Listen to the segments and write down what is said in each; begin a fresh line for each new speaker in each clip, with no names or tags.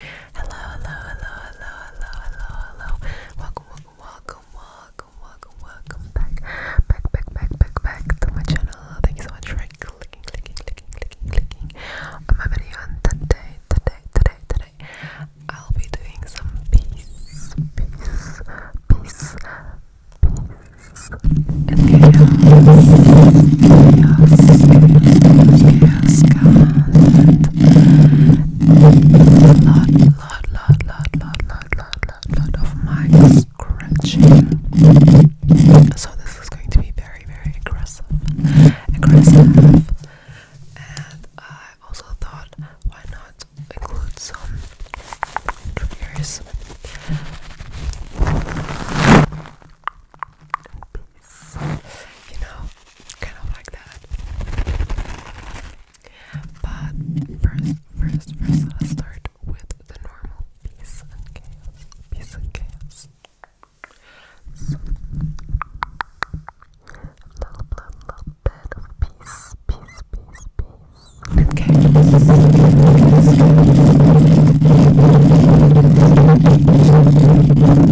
Hello, hello, hello, hello, hello, hello, hello. Welcome, welcome, welcome, welcome, welcome, welcome back, back, back, back, back, back to my channel. Thank you so much for clicking, clicking, clicking, clicking, clicking on my video. And today, today, today, today, I'll be doing some peace, peace, peace, peace, and chaos, chaos, chaos, chaos, chaos lot, lot, lot, lot, lot, lot, lot, lot, lot of my scratching. So this is going to be very, very aggressive, aggressive. And I uh, also thought, why not include some triggers? Peace. You know, kind of like that. But first, first, first, let's start with the normal peace and chaos. Peace and chaos. So, a little, little, little bit of peace, peace, peace, peace. And chaos.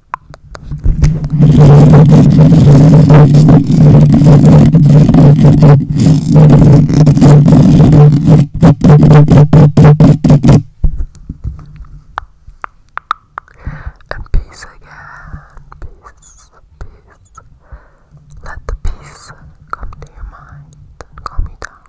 And peace again, peace, peace. Let the peace come to your mind and calm you down.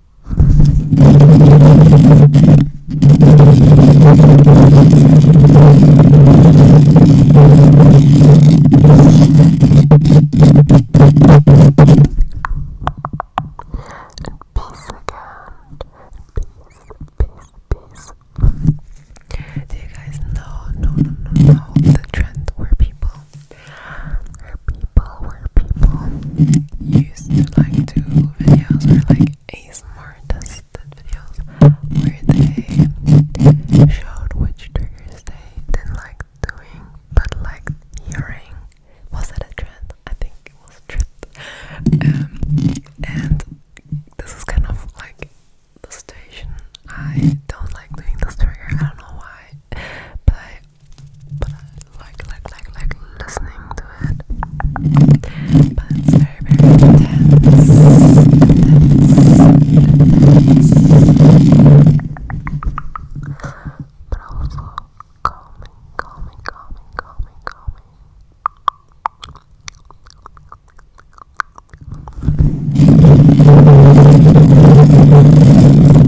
And peace again. Peace, peace, peace. Do you guys know, no, no, no, no, the trend where people where people, where people used to like do videos or like ASMR tested videos where they showed which triggers they didn't like doing but liked hearing. Was that a trend? I think it was a trend. Um, and this is kind of like the station. I don't like doing this trigger, I don't know why, but I but I like, like, like, like listening to it. But it's very, very intense. intense, intense. But also calming, calming, calming, calming, calming.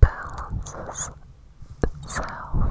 balances itself out.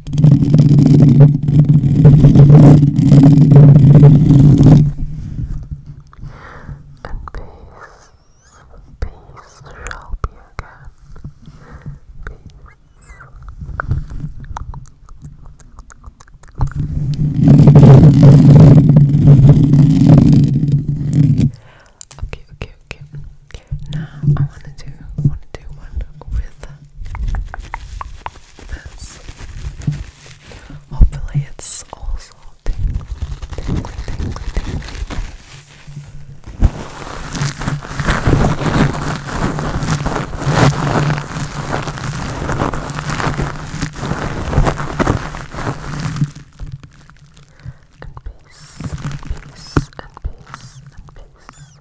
And peace, peace shall be again. Okay, okay, okay. Now I wanna do wanna do one with this. Hopefully, it's also tingly, peace, peace, and peace, and peace.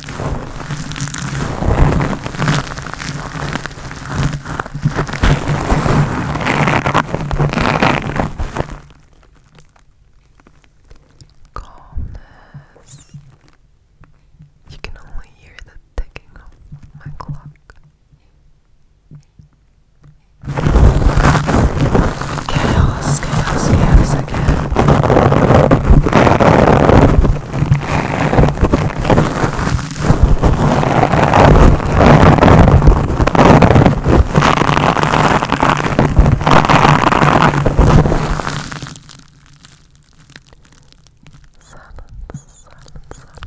Calmness. You can only hear the ticking of my clock chaos, chaos, chaos again. Silence, silence, silence.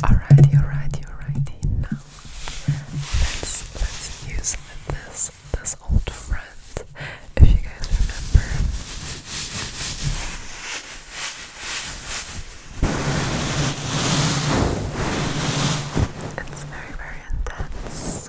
Alrighty, alrighty, alrighty. Now let's let's use this this old friend. If you guys remember it's very, very intense.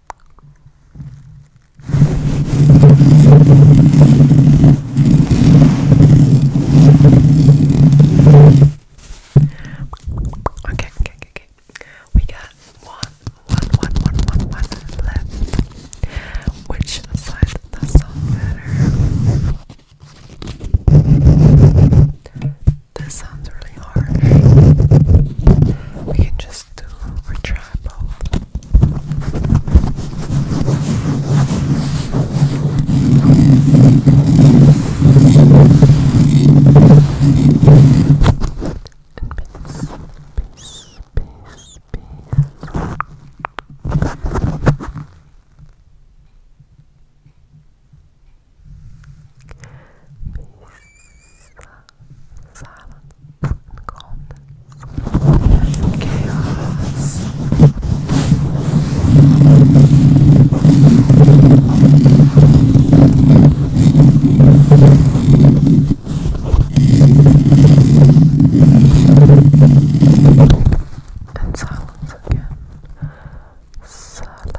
Okay, okay, okay, okay. We got one, one, one, one, one, one left. Which side does that sound better? This sounds really harsh. We can just to retribal. And peace, peace, peace, peace. Peace, silence and calmness and chaos. And silence again. Silence.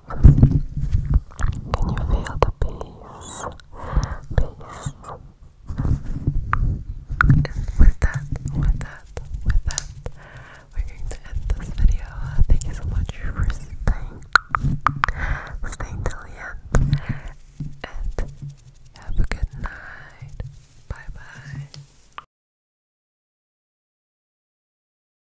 Can you feel the peace? Peace. with that, with that, with that, we're going to end this video. Thank you so much for staying, staying till the end, and have a good night. Bye bye.